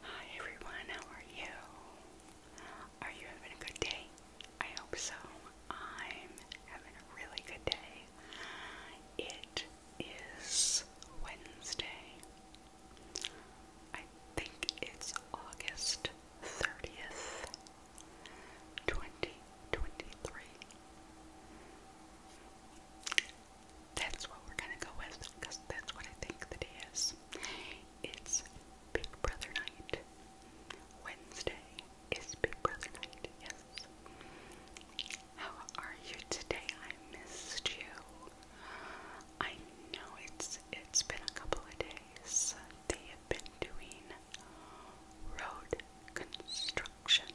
Hi everyone, how are you? Are you having a good day? I hope so. I'm having a really good day. It is Wednesday. I think it's August 30th, 2023. That's what we're gonna go with because that's what I think the day is. It's Big Brother Night. Wednesday is Big Brother Night, yes. How are you today? I missed you. I know it's it's been a couple of days. They have been doing road construction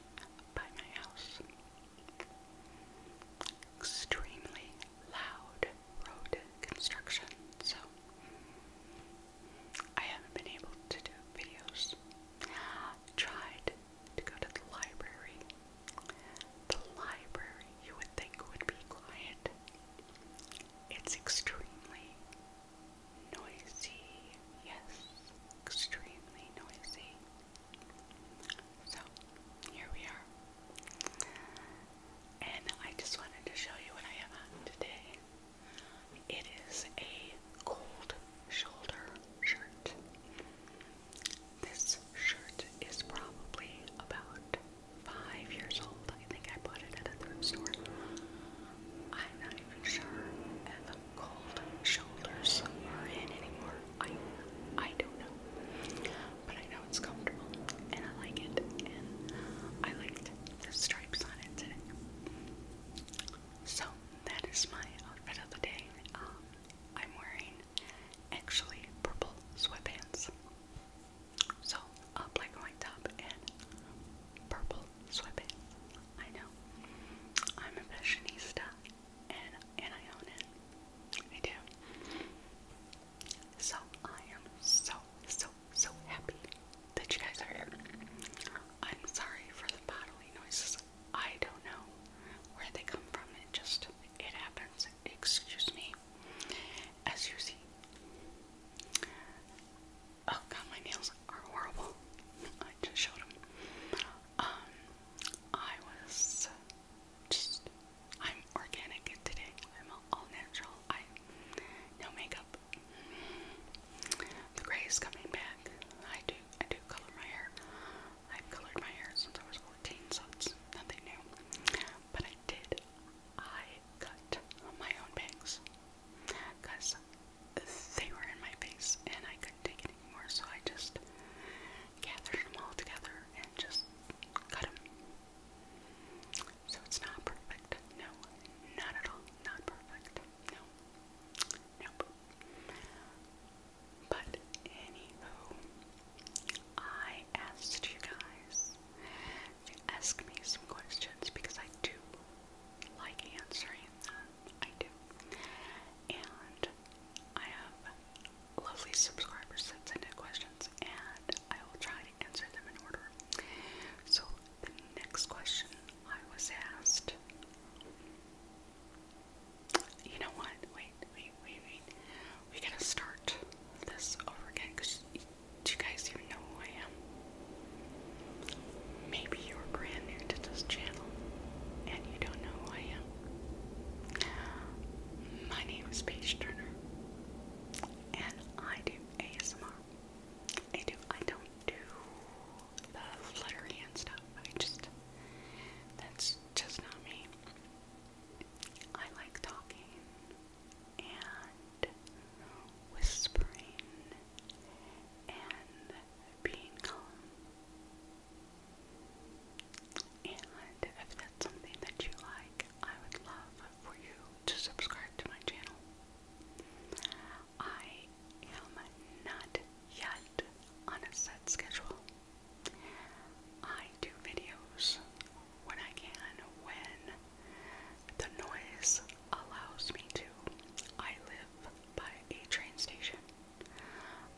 by my house extremely loud road construction, so I haven't been able to do videos. Tried to go to the library. The library you would think would be quiet. It's extremely noisy. Yes, extremely noisy. So here we are. And I just wanted to show you what I have on today. It is a cold shoulder shirt. This shirt is probably about five years old. I think I bought it at a thrift store. I'm not even sure if the cold shoulders are in anymore. I I don't know. But I know it's comfortable and I like it and I liked the stripes on it So that is my outfit of the day. Um, I'm wearing actually purple sweatpants. So a black white top and purple sweatpants. I know. I'm a fashionista and and I own it. I do. So I am so so so happy that you guys are here. I'm sorry for the bodily noises. I don't know where they come from. It just it happens. Excuse me. As you see. Oh god, my nails are horrible. I just showed them. Um, I was just I'm organic today. I'm all natural. I no makeup. The gray is coming back. I do I do color my hair. i colored my hair since I was 14, so it's nothing new. But I did I cut my own bangs because they were in my face and I couldn't take it anymore, so I just gathered them all together and just cut them. So it's not perfect. No, not at all. Not perfect. No. Nope. But anywho, I asked you guys to ask me some questions because I do like answering them. I do. And I have lovely subscriber sent in questions, and I will try to answer them in order. So, the next question I was asked. You know what? Wait, wait, wait, wait. We gotta start this over again because do you guys even know who I am? Maybe you're brand new to this channel and you don't know who I am. My name is Paige Turner, and I do ASMR. I do. I don't do the fluttery and stuff. I just that's just not me. I like talking and whispering and being calm and if that's something that you like, I would love for you to subscribe to my channel. I am not yet on a set schedule. I do videos when I can, when the noise allows me to. I live by a train station,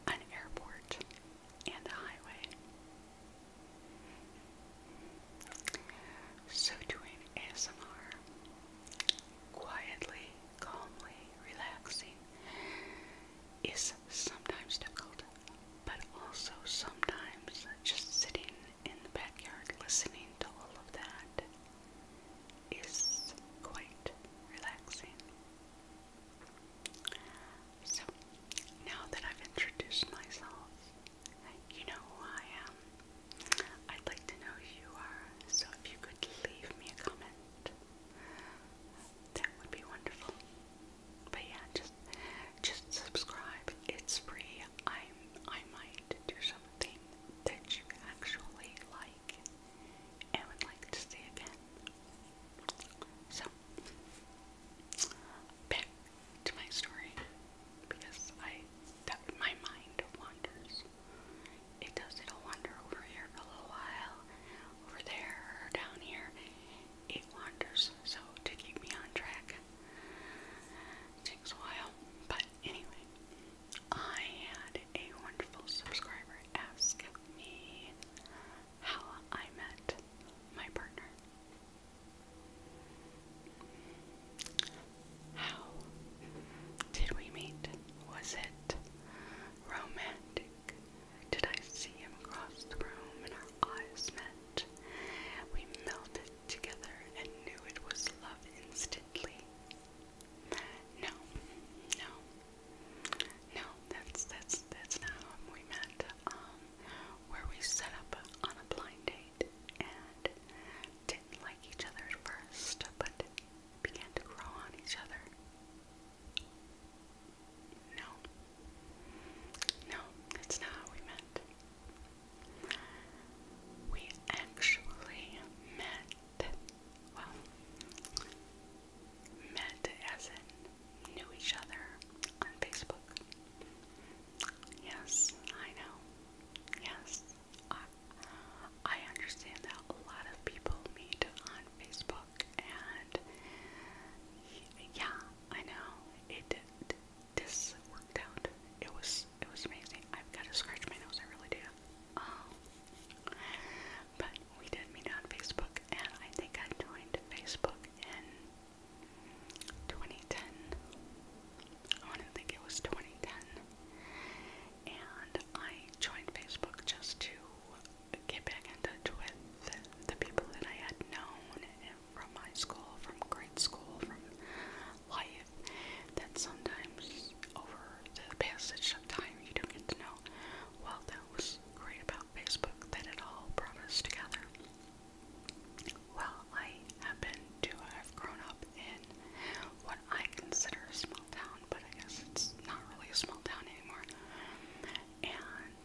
an airport, and the highway. So doing ASMR, quietly, calmly, relaxing, is sometimes difficult, but also sometimes just sitting in the backyard listening to all of that is quite relaxing. So, now that I've introduced myself, you know who I am. I'd like to know who you are, so if you could leave me a comment, that would be wonderful. But yeah, just just subscribe. It's free. I'm I might do something that you actually like and would like to see again. So, back to my story because I that my mind wanders. It does. It'll wander over here for a little while, over there, down here. It wanders. So to keep me on track takes a while. But anyway, I had a wonderful subscriber ask me how I met my partner. How did we meet? Was it romantic? Did I see him across the room and our eyes met? We melted together and knew it was love instantly. No, no, no, that's that's that's not whom we met, um, where we set up on a blind date and didn't like each other at first, but began to grow on each other. No. No, that's not how we met. We actually met, well, met as in knew each other on Facebook. Yes, I know. Yes, I, I understand that a lot of people meet on Facebook, and yeah, I know it. did This worked out. It was it was amazing. I've got to scratch my nose. I really do. Um, but we did meet on Facebook, and I think I joined Facebook in 2010. I want to think it was 2010. And I joined Facebook just to get back in touch with the people that I had known from high school, from grade school, from life, that sometimes over the passage of time you don't get to know. Well, that was great about Facebook that it all brought us together. Well, I happen to have grown up in what I consider a small town, but I guess it's not really a small town anymore. And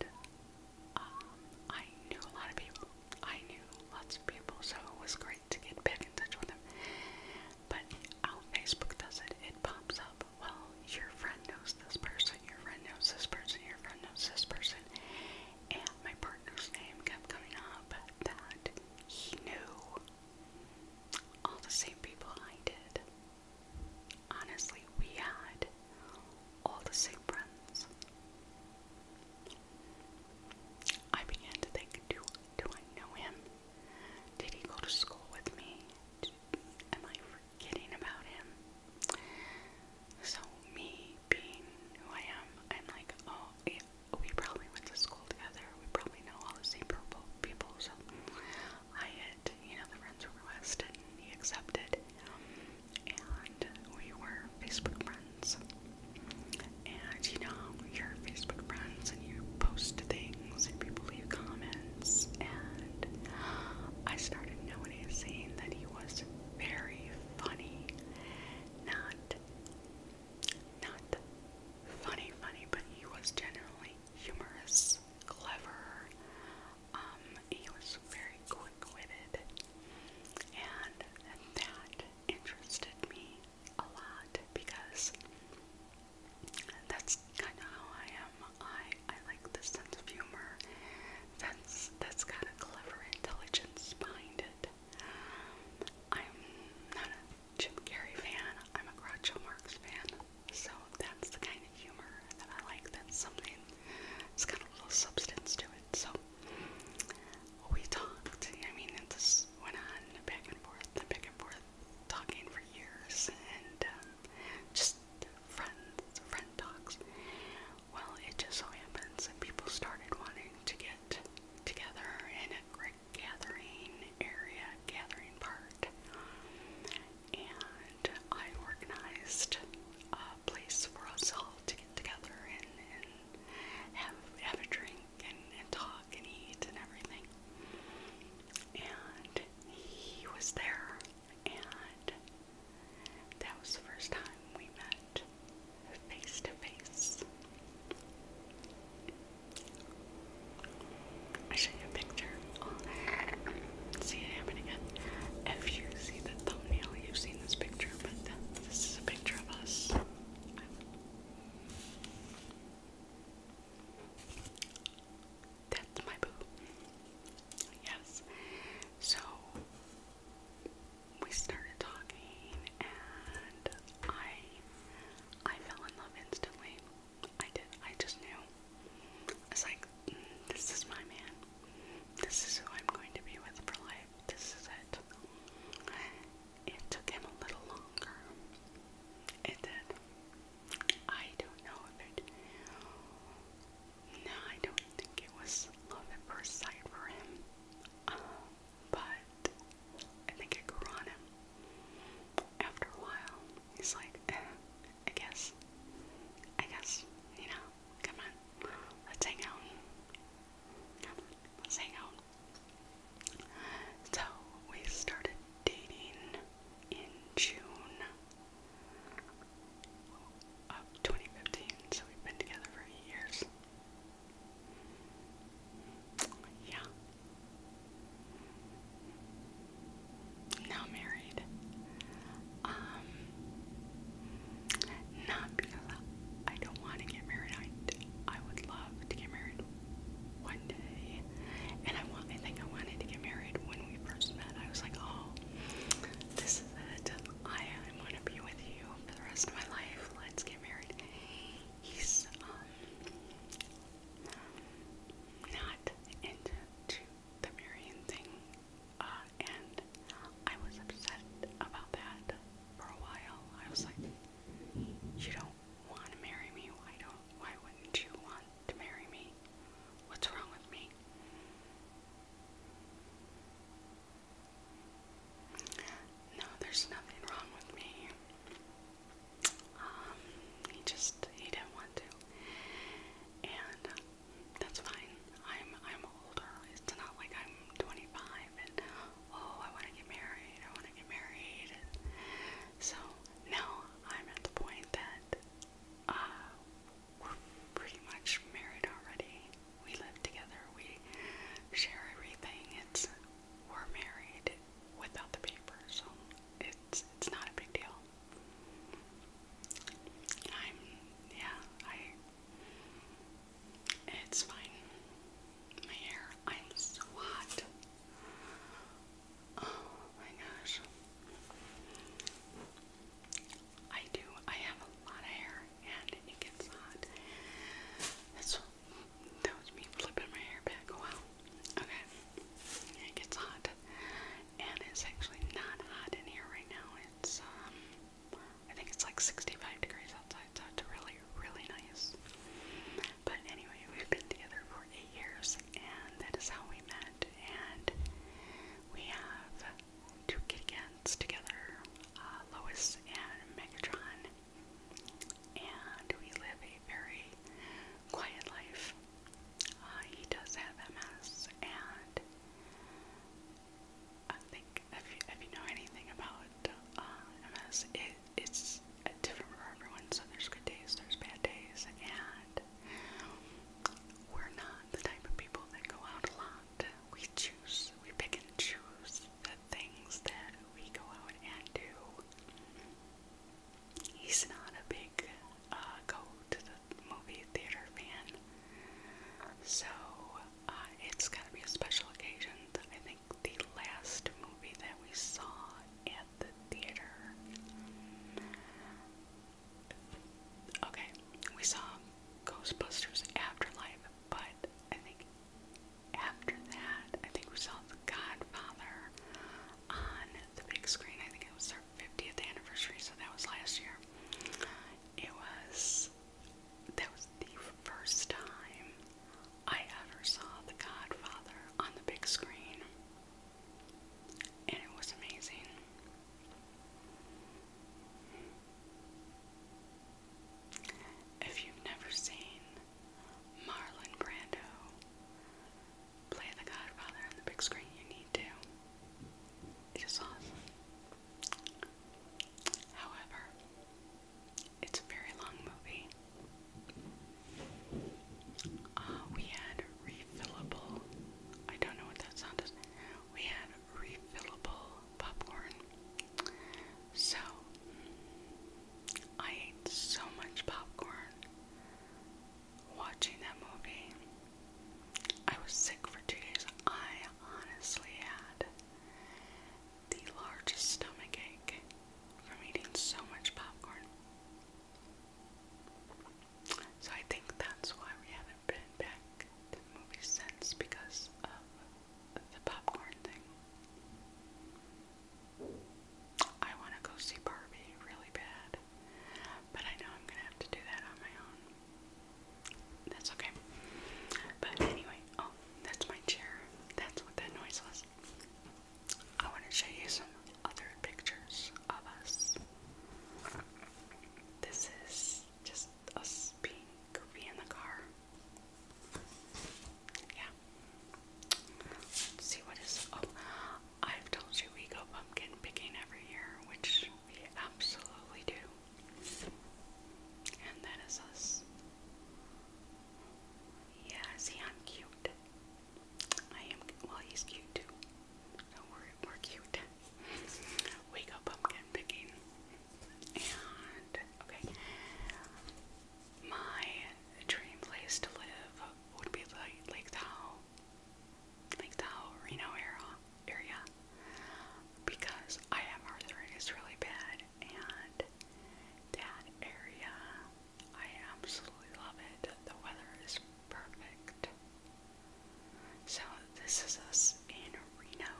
um, I knew a lot of people. I knew lots of people, so it was great to get back in touch with them. But how Facebook does it, it pops up. Well, your friend knows this person, your friend knows this person, your friend knows this person and my partner's name kept coming up that he knew all the same people I did. Honestly, we had all the same friends. I began to think, do, do I know him? Did he go to school with me? Am I kidding about him. So me being who I am, I'm like, oh, yeah, we probably went to school together. We probably know all the same people. So I had, you know, the friends requested, and he accepted, and we were Facebook friends. And you know, you're Facebook friends, and you post things, and people leave comments, and I started noticing that he was very, funny. Not not funny funny, but he was generally humorous, clever, um, he was very quick witted and that interested me a lot because that's kinda how I am. I I like the sense of humor that's that's got a clever intelligence behind it. I'm not a Jim Carrey fan. I'm a Groucho Marx fan. So that's the kind of humor that I like. That's something. It's got a little substance to it. So we talked. I mean, it just went on back and forth, and back and forth, talking for years, and um, just friends, friend talks. Well, it just so happens that people started wanting to get together in a great gathering area, gathering part. And I organized a place for us all to get together and, and have, have a drink and, and talk and eat and everything. And he was there, and that was the first time we met face to face. I show you a picture. see it happening again. If you see the thumbnail, you've seen this picture, but this is a picture of us. That's my boo. Yes. So we started talking and I I fell in love instantly. I did. I just knew. It's like mm, this is my man. This is who I'm going to be with for life. This is it. It took him a little longer. It did. I don't know if it no, I don't think it was love at first sight for him. Uh, but I think it grew on him. After a while, he's like, eh, I guess, I guess, you know, come on, let's hang out. let's hang out. So we started dating in June of 2015, so we've been together for years. Yeah. Now married. Um, not because I don't want to get married. I, I would love to get married one day, and I want. I think I wanted to get married when we first met. I was like, oh, this is it. I I want to be with you for the rest of my life. Let's get married. He's um not into the marrying thing, uh, and I was upset about that for a while. I was like, "You don't want to marry me? Why don't? Why wouldn't you want to marry me? What's wrong with me?" No, there's nothing wrong with me. Um, he just he didn't want to, and uh, that's fine. I'm I'm older. It's not like I'm 25 and oh, I want to get married. I want to get married. So now I'm at the point that uh, we're pretty much married already. We live together. We share everything. It's we're married without the paper, so it's it's not a big deal. I'm yeah, I it's fine. My hair, I'm so hot. Oh my gosh. I do. I have a lot of hair, and it gets hot. That's that was me flipping my hair back. Oh, wow. Okay. It gets hot, and it's actually not hot in here right now. It's um, I think it's like 65 degrees outside, so it's really, really nice. But anyway, we've been together for eight years, and that is how we met. And we have two kitty together, uh, Lois and Megatron, and we live a very quiet life. Uh, he does have MS, and I think if if you know anything about uh, MS, it, it's different for everyone. So there's good days, there's bad days, and we're not the type of people that go out a lot. We choose, we pick and choose the things that we go out and do. He's not a big uh, go to the movie theater fan. So uh, it's to be a special occasion. I think the last movie that we saw at the theater. Okay, we saw Ghostbusters Afterlife but I think after that, I think we saw The Godfather on the big screen. I think it was our 50th anniversary, so that was last year. It was, that was the first time I ever saw The Godfather on the big screen, and it was amazing. If you've never seen Marlon Brando play The Godfather on the big screen, you need to. It is awesome. However, it's a very long movie. Uh, we had refillable, I don't know what that sound is. We had refillable popcorn. So, I ate so much popcorn watching that movie. I was sick for two days. I honestly had the largest stomach ache from eating so much popcorn. So I think that's why we haven't been back to movies since because of the popcorn thing. I want to go see Barbie really bad, but I know I'm gonna have to do that on my own. That's okay. But anyway, oh, that's my chair. That's what that noise was. I want to show you some other pictures of us. This is just us being goofy in the car. Yeah. see what is. Oh, I've told you we go pumpkin picking every year, which we absolutely do. And that is us. Yeah, see, I'm cute. I am. Well, he's cute too. No, we're, we're cute. we go pumpkin picking. And okay, my dream place to live would be like Lake Tahoe, Lake Tahoe, Reno area, because I have arthritis really bad, and that area, I absolutely love it. The weather is perfect. So this is us in Reno.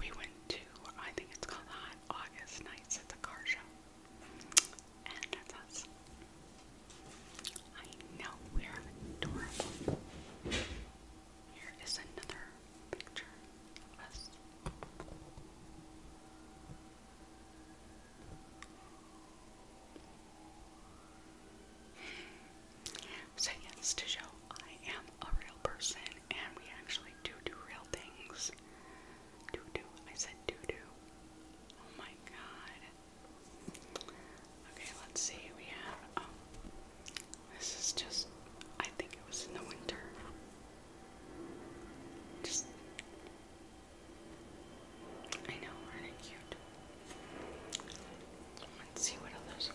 We went to, I think it's called August Nights at the Car Show. And that's us. I know we're adorable. Here is another picture of us. So, yes, to show I am a real person and we actually do do real things. Do do. I said do do. Oh my god. Okay, let's see. We have. Um, this is just. I think it was in the winter. Just. I know, are cute? Let's see what else.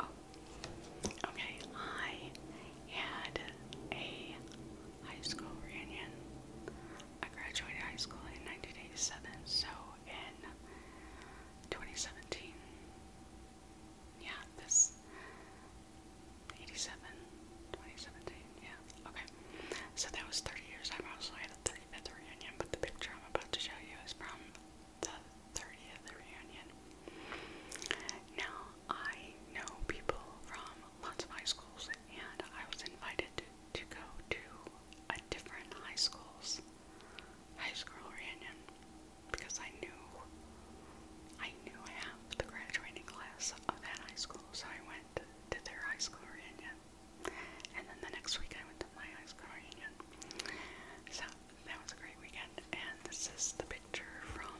Oh, okay. I had a high school reunion. I graduated high school in 1987, so in 2017. Yeah, this 87, 2017. Yeah, okay. So that was 30 years. I also had a 30 35th reunion, but the picture I'm about to show you is from the 30th reunion. Now, I know people from lots of high schools, and I was invited to, to go to a different high school's high school reunion because I knew I knew half the graduating class of that high school, so I went to their high school reunion. And then the next week I went to my high school reunion. So that was a great weekend. And this is the picture from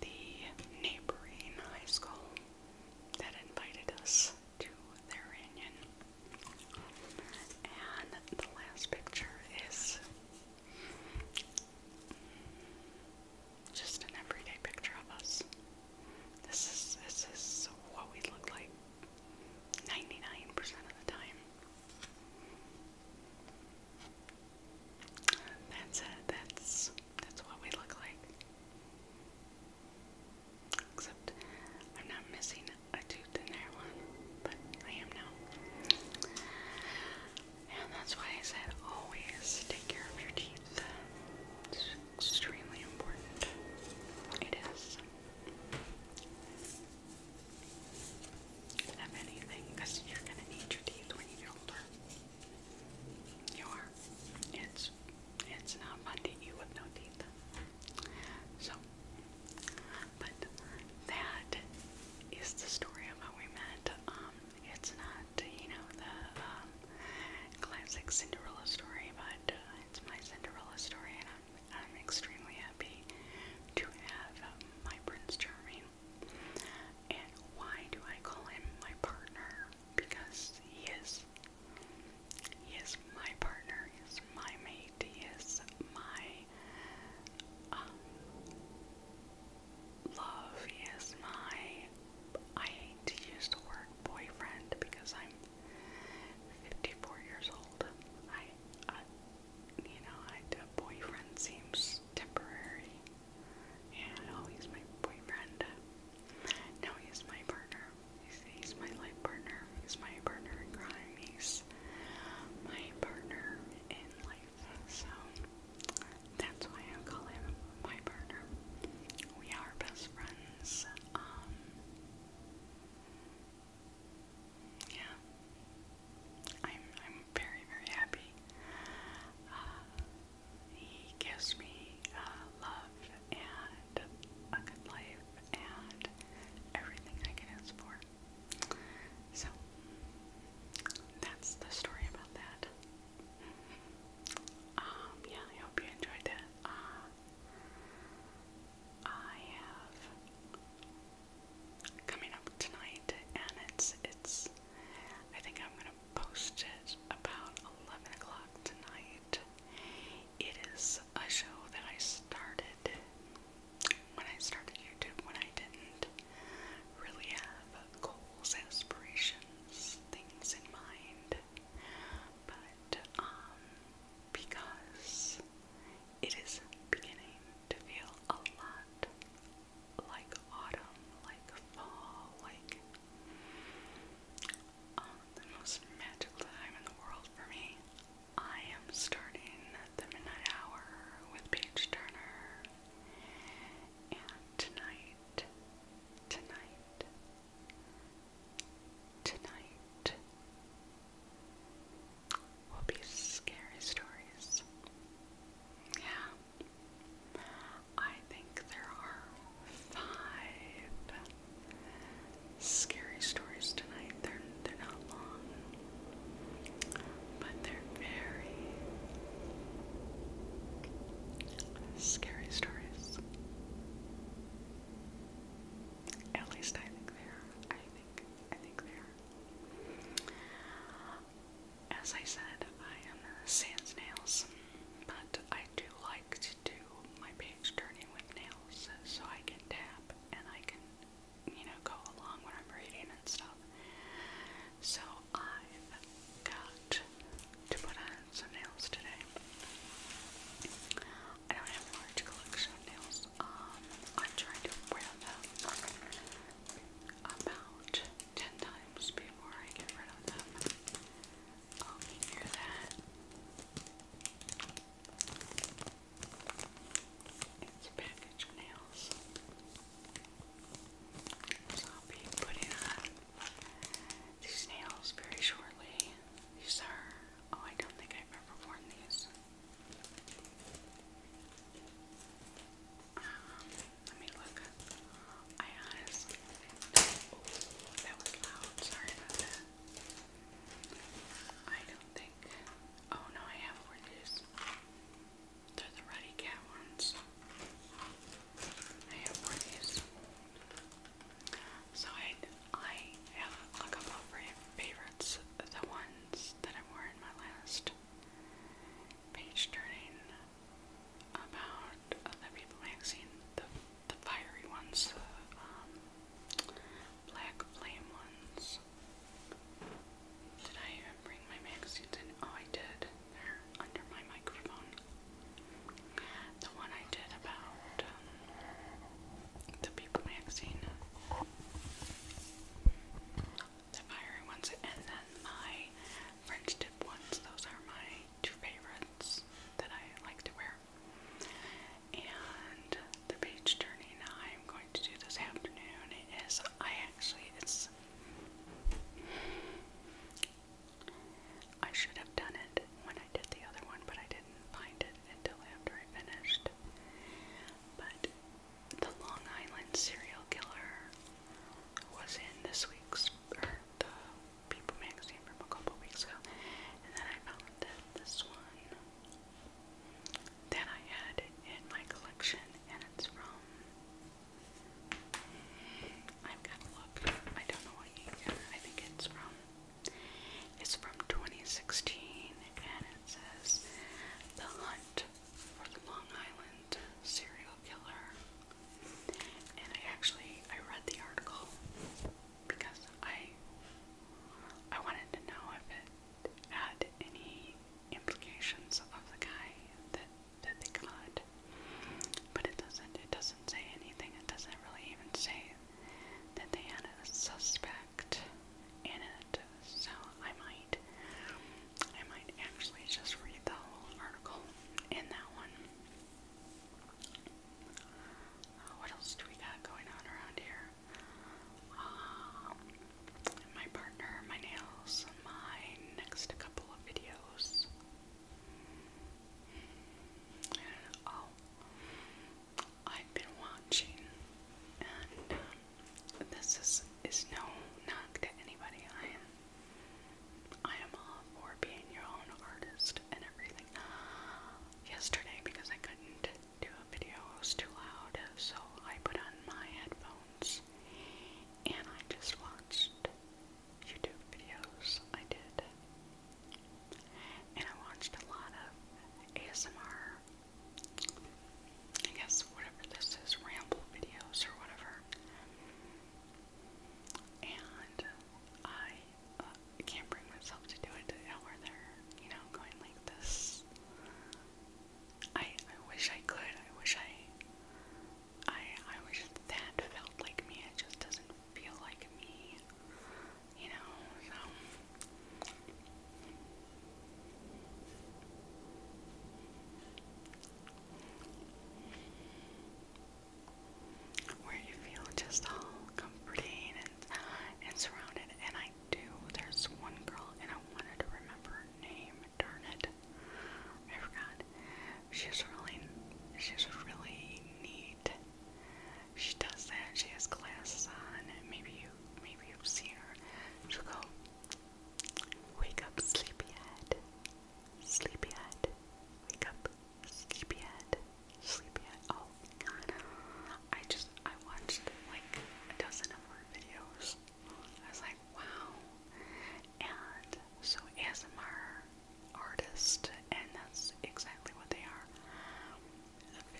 the neighboring high school that invited us to their reunion. And the last picture is just an everyday picture of us. This is this is what we look like 99% of the time. That's it. That's that's what we look like. Except I'm not missing a tooth in there one, but I am now. And that's why I said always take care of your teeth. It's extremely important. It is. Have anything, because you're gonna need your teeth when you get older. You are. It's it's not fun to eat no teeth. So, but that is the story of how we met. Um, it's not you know the um, classic Cinderella story, but uh, it's my Cinderella story, and I'm I'm extremely happy to have um, my Prince Charming. And why do I call him my partner? Because he is. He is my partner, he is my mate, he is my um, love, he is my. I hate to use boyfriend because I'm 54 years old. I, I you know, I, a boyfriend seems temporary. And oh, he's my boyfriend. No, he's my partner. He's, he's my life partner. He's my partner in crime. He's my partner in life. So that's why I call him my partner. We are best friends. Um, yeah, I'm I'm very very happy. Uh, he gives me uh, love and a good life and everything I can ask for. So that's the story about that. Um, yeah, I hope you enjoyed that. I have coming up tonight, and it's it's. I think I'm gonna post it about eleven o'clock tonight. It is a show that I started when I started YouTube when I didn't really have goals, aspirations, things in mind, but um because it is beginning to feel a lot like autumn, like fall, like um, the most magical time in the world for me. I am starting the midnight hour with Paige Turner, and tonight, tonight, Tonight will be scary stories. Yeah, I think there are five scary stories tonight. They're they're not long, but they're very scary stories. At least I think they are. I think I think they are. As I said, I am sans nails, but I do like to do my page turning with nails, so I can tap and I can, you know, go along when I'm reading and stuff. So I've got to put on some nails today. I don't have a large collection of nails. Um, I try to wear them about 10 times before I get rid of them. Oh, you hear that? It's package nails. So I'll be putting on these nails very shortly. These are, oh, I don't think I've ever worn these. Um, let me look. I honestly that was loud. Sorry about that. I don't think. Oh no, I have one of these. They're the Ruddy Cat ones. I have one of these. So I, I have a couple of my favorites. The ones that I wore in my last page turning about the People magazine, the, the fiery ones, the um, black flame ones. Did I bring my magazines in? Oh, I did. They're under my microphone. The one I did about um, the People magazine. The fiery ones, and then my French dip ones. Those are my two favorites that I like to wear. And the page turning I'm going to do this afternoon is I actually it's I should have done it when I did the other one, but I didn't find it until after I finished. But the Long Island serial killer was in this week's, er, the People magazine from a couple weeks ago. And then I found that this one that I had in my collection, and it's from. I've got to look. I don't know what year. I think it's from it's from 2016 and it says The Hunt for the Long Island Serial Killer. And I actually I read the article because I I wanted to know if it had any implications of the guy that that they got. But it doesn't it doesn't say anything. It doesn't really even say that they had a suspect effect in it, so I might I might actually just read the whole article in that one. Uh, what else do we got going on around here? Um, my partner, my nails, my next couple of videos. Oh, I've been watching, and um, this is is no knock to anybody. I am I am all for being your own artist and everything. Yesterday, because I couldn't do a video, it was too loud, so I put on my headphones and I just watched YouTube videos. I did. And I watched a lot of ASMR I guess whatever this is, ramble videos or whatever. And I uh, can't bring myself to do it today where they're, you know, going like this. I I wish I could. I wish I I I wish that felt like me. It just doesn't feel like me you know, so. Where you feel just all comforting and, and surrounded. And I do. There's one girl, and I wanted to remember her name. Darn it, I forgot. She's really, she's really neat. She does that. She has glasses on. and Maybe you maybe you've seen her. she go, Wake up, sleepyhead. Sleepyhead. Wake up, sleepyhead. Sleepyhead. Oh god. I just, I watched like a dozen of her videos. I was like, wow. And so ASMR artist, and that's exactly what they are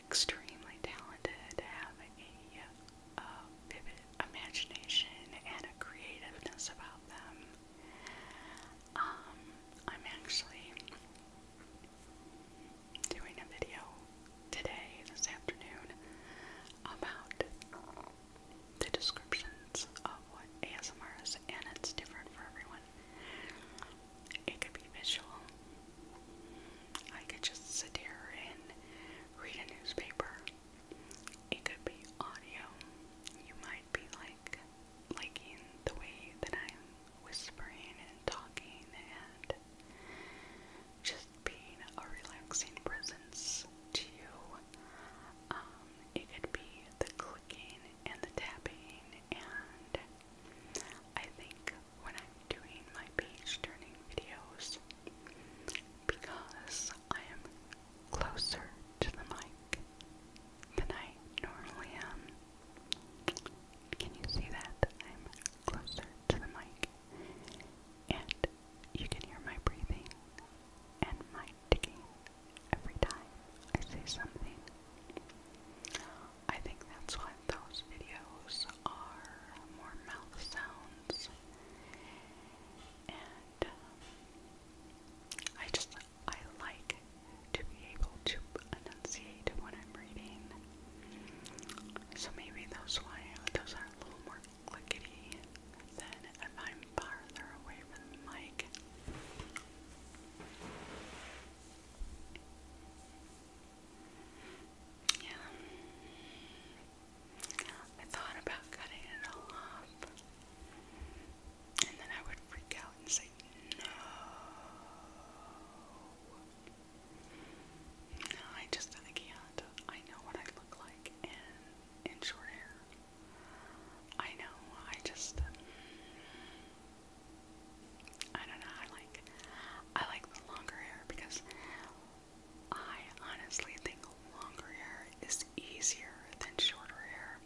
extremely talented, have a, vivid imagination and a creativeness about them. Um, I'm actually doing a video today, this afternoon, about the descriptions of what ASMR is, and it's different for everyone. It could be visual, I could just sit here and read a newspaper. It could be audio. You might be like liking the way that I'm whispering and talking and just being a relaxing presence to you. Um, it could be the clicking and the tapping and I think when I'm doing my page turning videos because I am closer to the mic than I normally am. Can you see that? I'm closer to the mic and you can hear my breathing and my ticking every time I say something. I think that's why those videos are more mouth sounds. And um, I just, I like to be able to enunciate when I'm reading. So maybe those, why, those are a little more clickety than if I'm farther away from the mic. Yeah. I thought about cutting it all off. And then I would freak out and say, no. No, I just I can't. I know what I look like in, in short hair. I know, I just... I don't know, I like, I like the longer hair because I honestly think longer hair is easier than shorter hair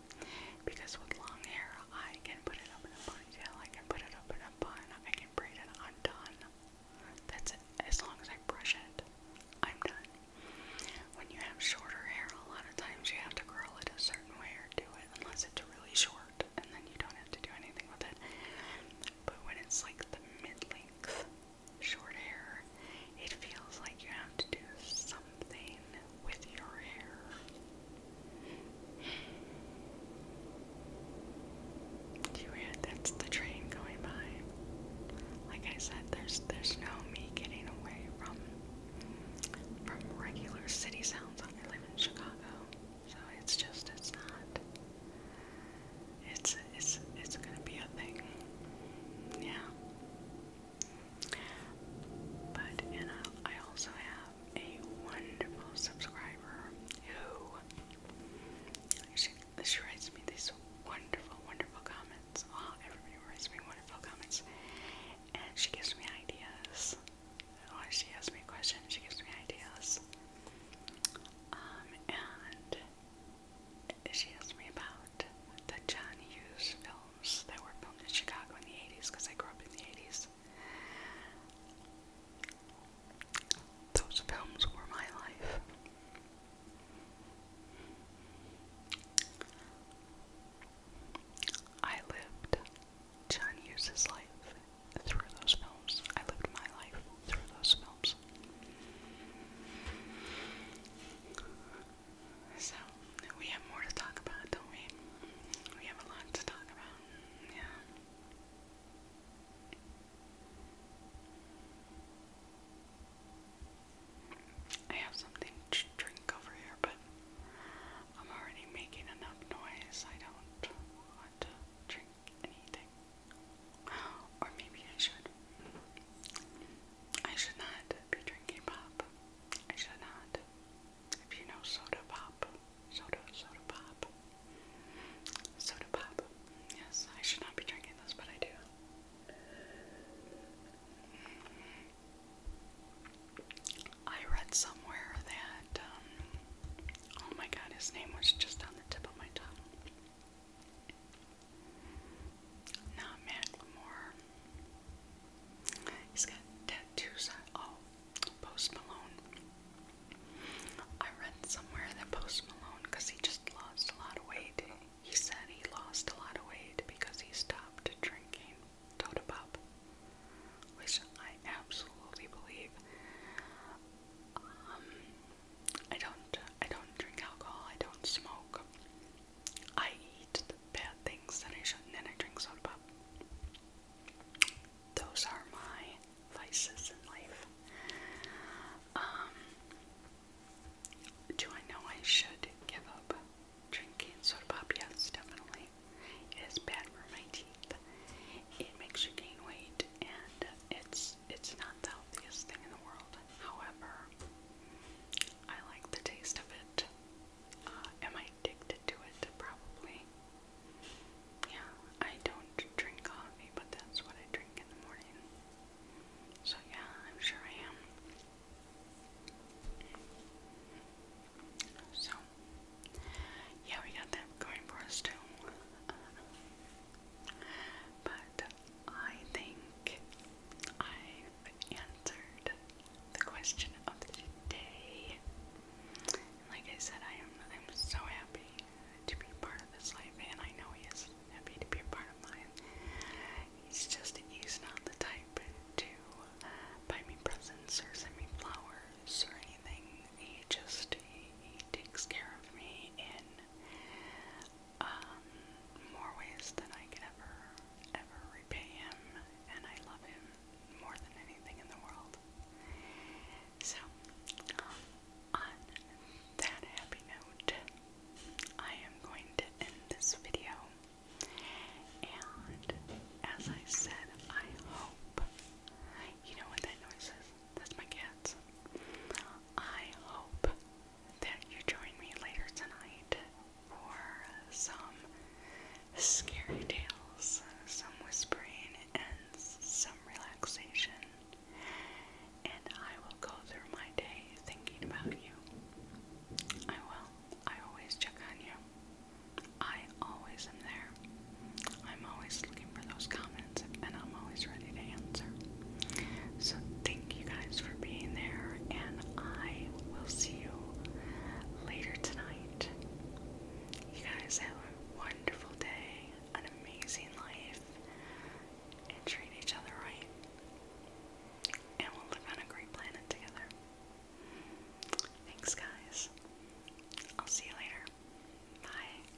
because with long hair, I can put it up in a ponytail, I can put it up in a bun, I can braid it undone. That's it. As long as I brush it, I'm done. When you have shorter hair, a lot of times you have to curl it a certain way or do it unless it's really short and then you don't have to do anything with it. But when it's like the mid-length short hair, it feels like you have to do something with your hair. Do you hear that's the train going by? Like I said, there's there's no me getting away from from regular city sounds. I live in Chicago. So it's just it's not. It's it's it's gonna be a thing. Yeah. But and I, also have a wonderful subscriber who she, she writes me these wonderful, wonderful comments. Wow, everybody writes me wonderful comments. And she gives me ideas. She asks me questions, she gives me ideas. Um, and she asked me about the John Hughes films that were filmed in Chicago in the 80s because I grew up in the 80s. Those films were my life. I lived John Hughes's life through those films. I lived my life through those films. So, we have more to talk about, don't we? We have a lot to talk about. Yeah. I have something to drink over here, but I'm already making enough noise. I don't want to drink drink anything. Or maybe I should. I should not be drinking pop. I should not. If you know soda pop, soda, soda pop, soda pop. Yes, I should not be drinking this, but I do. I read somewhere that, um, oh my god, his name was just on the tip of my tongue. Not Macklemore. He's got tattoos Oh, Post Malone. I read somewhere that Post Malone, because he just lost a lot of weight, he said he lost a lot of weight because he stopped drinking Toda Pop, which I absolutely believe. Um, I don't I don't drink alcohol, I don't smoke. I eat the bad things that I shouldn't and I drink soda pop. Those are my vices in life. Um, do I know I should give up drinking soda pop? Yes, definitely. It is bad for my teeth. It makes you gain weight and it's it's not the healthiest thing in the world. However, I like the taste of it. Uh, am I addicted to it? Probably. Yeah, I don't drink coffee, but that's what I drink in the morning. So yeah, I'm sure I am. So, yeah, we got that going for us too. Uh, but I think I've answered the question of the day. And like I said, I am I'm so happy to be part of this life, and I know he is happy to be a part of mine. He's just he's not the type to buy me presents or send me flowers or anything. He just he, he takes care of me and um, more ways than I could ever, ever repay him, and I love him more than anything in the world. So, on that happy note, I am going to end this video. And as I said, I hope you know what that noise is. That's my kids. I hope that you join me later tonight for some scary tales, some whispering, and some relaxation. And I will go through my day thinking about you. I will. I always check on you. I always am there. I'm always looking for those comments and I'm always ready to answer. So, thank you guys for being there, and I will see you later tonight. You guys have a wonderful day, an amazing life, and treat each other right. And we'll live on a great planet together. Thanks, guys. I'll see you later. Bye.